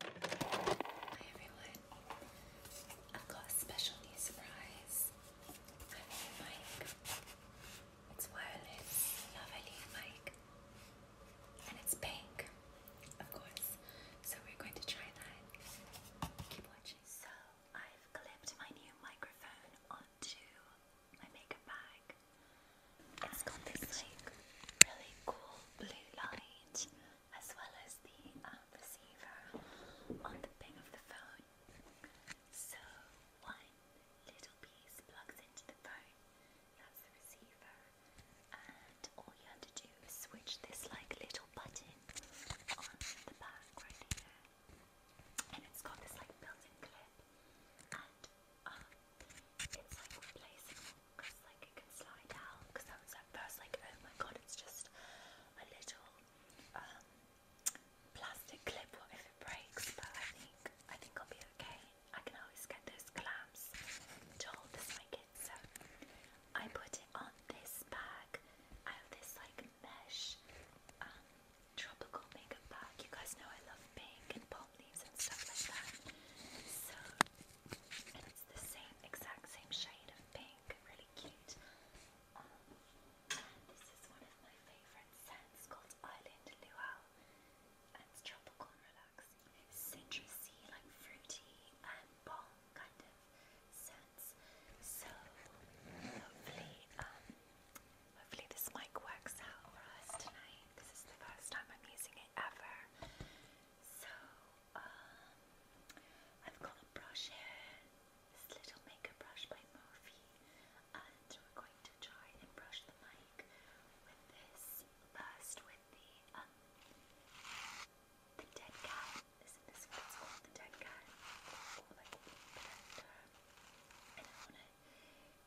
Hi everyone. I've got a special new surprise. My new mic. It's wireless, mic. And it's pink, of course. So we're going to try that. Keep watching. So I've clipped my new microphone onto my makeup bag. It's got this like really cool blue light as well as the um, receiver on the pin of the phone. So one little piece plugs into the phone, that's the receiver, and all you have to do is switch this like little button on the back right here, and it's got this like built-in clip, um, it's like replaceable like it can slide out because I was at first like oh my god it's just a little um, plastic clip what if it breaks but I think I think I'll be okay I can always get those clamps to hold this my so I put it on this bag I have this like mesh um, tropical makeup bag you guys know I love pink and palm leaves and stuff like that so it's the same exact same shade of pink, really cute. Um, this is one of my favourite scents called Island Luau, it's tropical and citrusy, like fruity and balm kind of scents. So hopefully, um, hopefully this mic works out for us tonight. This is the first time I'm using favorite ever. So, um, I've got a brush this little makeup brush by Morphe, and we're going to try and brush the mic with this first with the um, the dead cat. Isn't this what it's called? The dead cat, or like protector. And I want to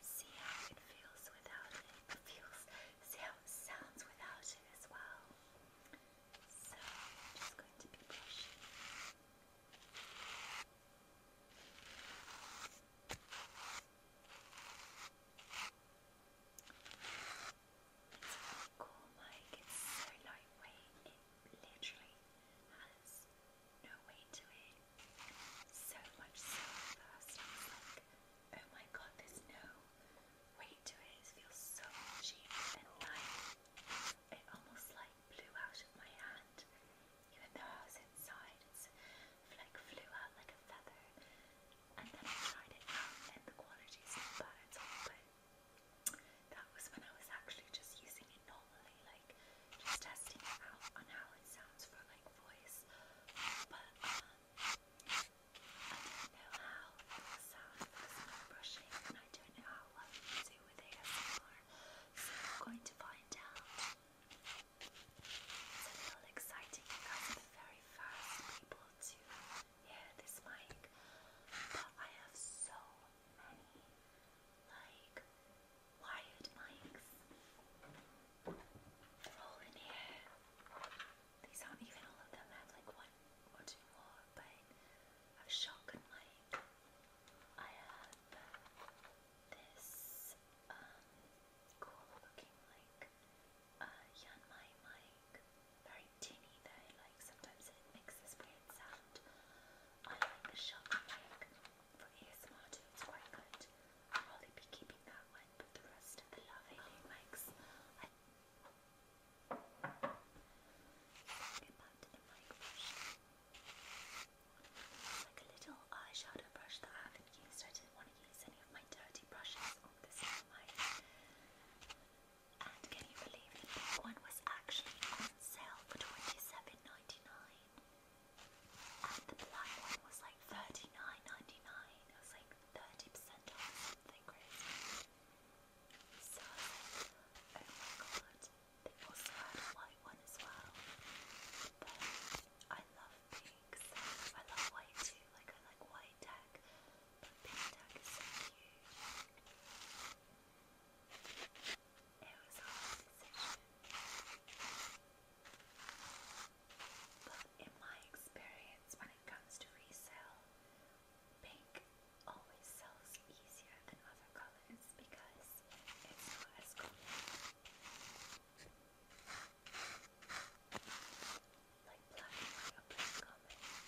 see how it feels without It feels see how it sounds without it as well. So I'm just going to be brushing. It's cool mic, it's so lightweight, it literally has no weight to it. So much so oh my god, there's no weight to it. feels so cheap and light. It almost like blew out of my hand, even though I inside. It's like flew out like a feather. And then I tried it out, and the quality is not bad at all. But that was when I was actually just using it normally, like just testing it out on how it sounds for like voice. But um, don't know how it will sound because I'm brushing and I don't know how well you do with ASMR, so I'm going to find out. It's exciting I'm the very first people to hear this mic, but I have so many like wired mics. all in here. These aren't even all of them have like one or two more, but I've shocked I have this um, cool looking like uh Yanmai mic. Very tinny though, like sometimes it makes this weird sound. I like the shock mic for ASMR too, it's quite good. I'll be keeping that one one, the rest of the lovely makes. get back to the mic brush. like a little eyeshadow brush that I haven't used. I didn't want to use any of my dirty brushes on this mic. And can you believe the pink one was actually on sale for 27 And the black one was like 39 I was like, 30% off crazy. So I oh was they also had a white one as well. But I love pink, I love white too, like I like white tag, but pink tag is so cute. It was a hard decision. But in my experience, when it comes to resale, pink always sells easier than other colors because it's not common. Like black and white are common.